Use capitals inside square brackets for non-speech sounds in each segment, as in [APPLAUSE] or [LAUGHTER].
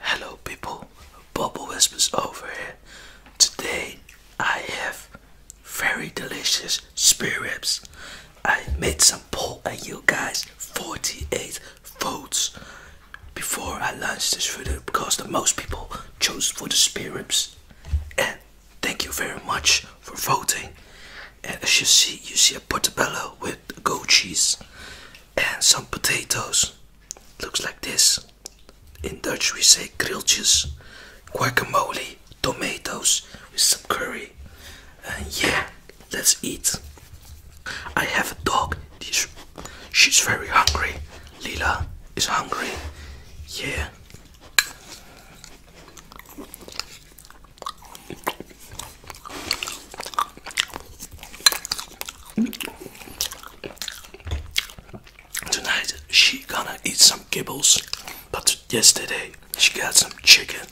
Hello people, Bubble Whispers over here. Today I have very delicious spare I made some poll and you guys, 48 votes before I launched this video because the most people chose for the spare And thank you very much for voting. And as you see, you see a portobello with with goat cheese and some potatoes. Looks like this. In Dutch we say grilltjes, guacamole, tomatoes with some curry. And yeah, let's eat. I have a dog. She's very hungry. Lila is hungry. Yeah. Tonight she gonna eat some kibbles, but yesterday she got some chicken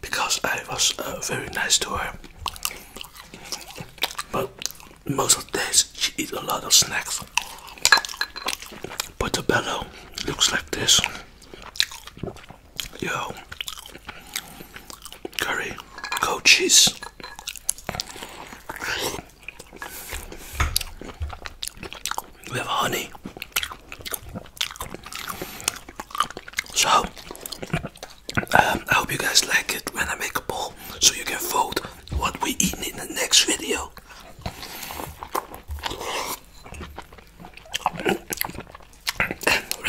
because I was uh, very nice to her. But most of the days she eat a lot of snacks. But the Portobello looks like this. Yo, curry, goat cheese. We have honey. So, um, I hope you guys like it when I make a poll so you can vote what we eat in the next video.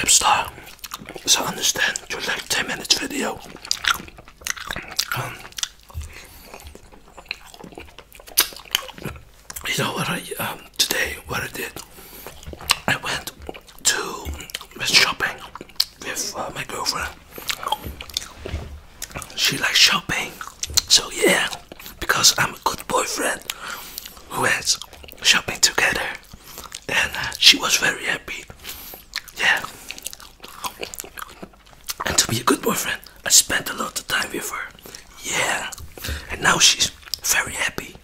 Ripstar, so I understand you like 10 minutes video. Um, you know what I um, today? What I did? I went to shopping with uh, my girlfriend she likes shopping. So yeah, because I'm a good boyfriend who has shopping together, and uh, she was very happy. Yeah, and to be a good boyfriend, I spent a lot of time with her. Yeah, and now she's very happy.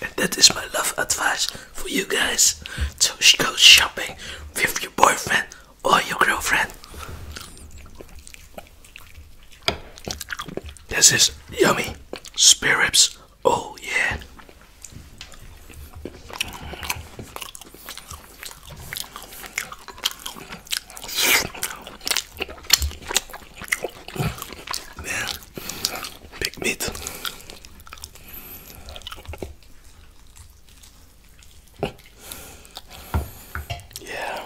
And that is my love advice for you guys So she goes shopping with your boyfriend or your girlfriend. This is yummy spirits. Oh, yeah. Man, big meat. Yeah.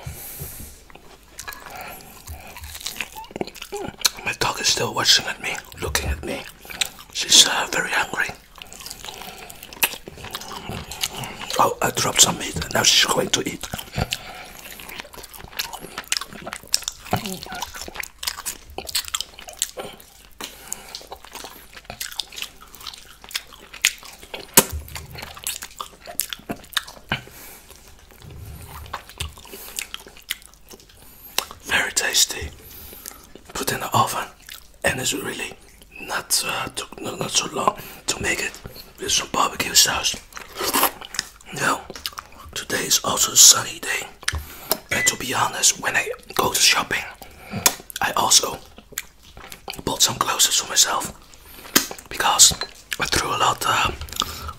My dog is still watching at me, looking at me. She's uh, very hungry. Oh, I dropped some meat. and Now she's going to eat. Very tasty. Put in the oven, and it's really not uh, not so long to make it with some barbecue sauce. Now, today is also a sunny day, and to be honest, when I go to shopping, I also bought some clothes for myself because I threw a lot uh,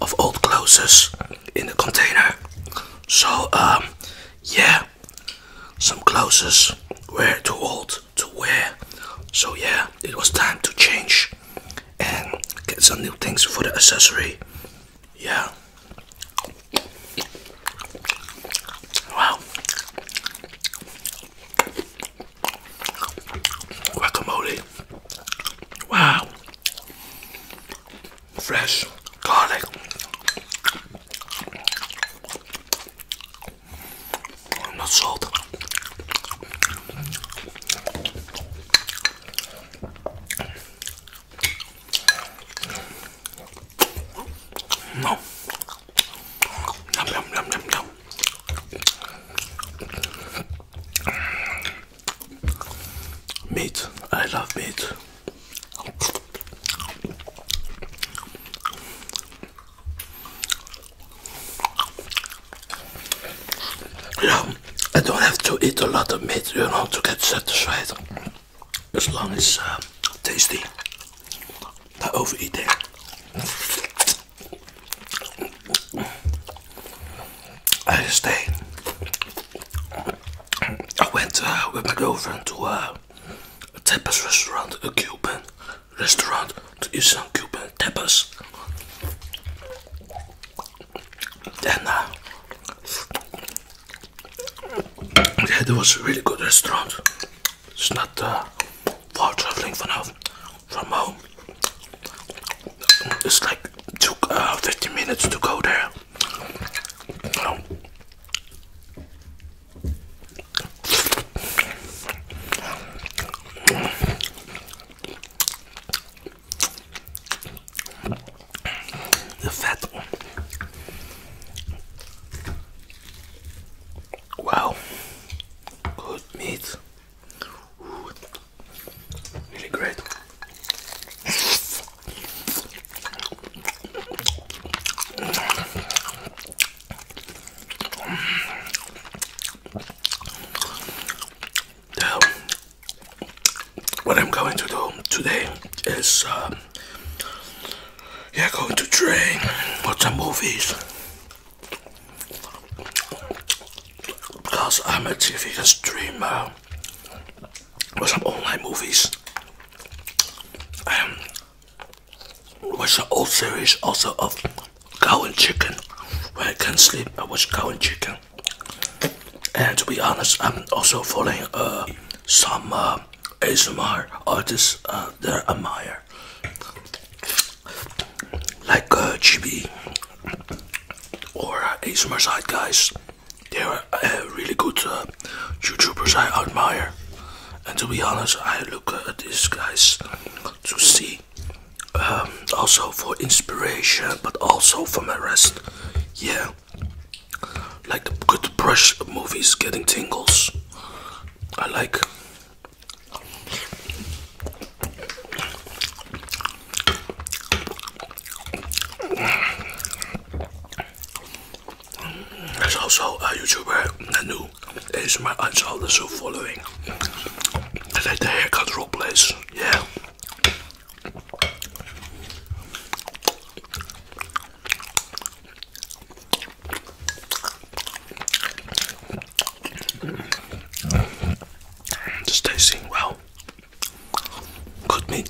of old clothes in the container. So um, yeah, some clothes were too old to wear. So yeah, it was time to change and get some new things for the accessory. Yeah. Wow. Guacamole. Wow. Fresh garlic. And salt. No. Yum, yum, yum, yum, yum. Meat. I love meat. Yeah, I don't have to eat a lot of meat, you know, to get satisfied as long as uh, tasty, not overeating. I stay. I went uh, with my girlfriend to uh, a tapas restaurant, a Cuban restaurant, to eat some Cuban tapas. Then yeah, there was a really good restaurant. It's not uh, far traveling for now from home. It's like took uh, 15 minutes to go there the fat. one. Wow, good meat. Really great. Now, what I'm going to do today is, uh, yeah, going to train, watch some movies. Because I'm a TV streamer watch some online movies. Um, watch some old series also of Cow and Chicken. When I can't sleep, I watch Cow and Chicken. And to be honest, I'm also following uh, some uh, ASMR artists uh, that I admire, like GB or ASMR side guys. They are really good YouTubers I admire. And to be honest, I look at these guys to see um, also for inspiration but also for my rest yeah like good brush movies getting tingles I like there's also a YouTuber that knew It's my answer also following. I like the haircut role plays, yeah. Just tasting well. Good meat.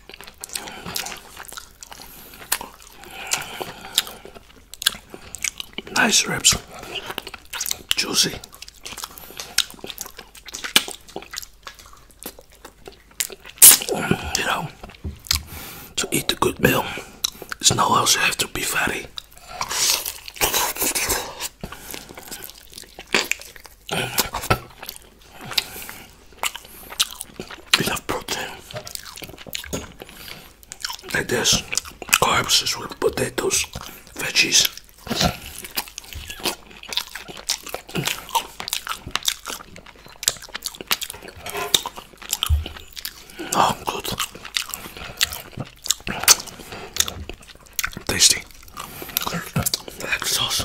Nice ribs, juicy. You know, to eat a good meal, it's no else you have to be fatty enough protein like this carbs is with potatoes veggies oh good tasty like sauce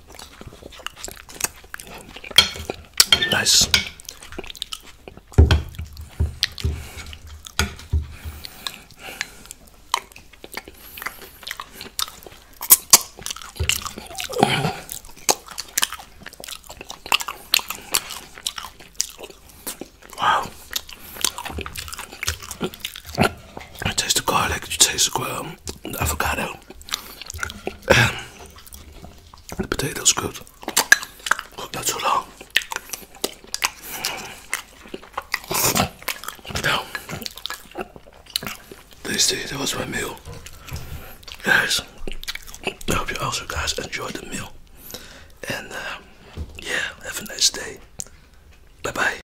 Nice. Wow. I taste the garlic, you taste the, um, the avocado. And [CLEARS THROAT] the potato's good. Cooked not so long. Now, tasty, that was my meal. Guys, I hope you also guys enjoyed the meal. And uh, yeah, have a nice day. Bye bye.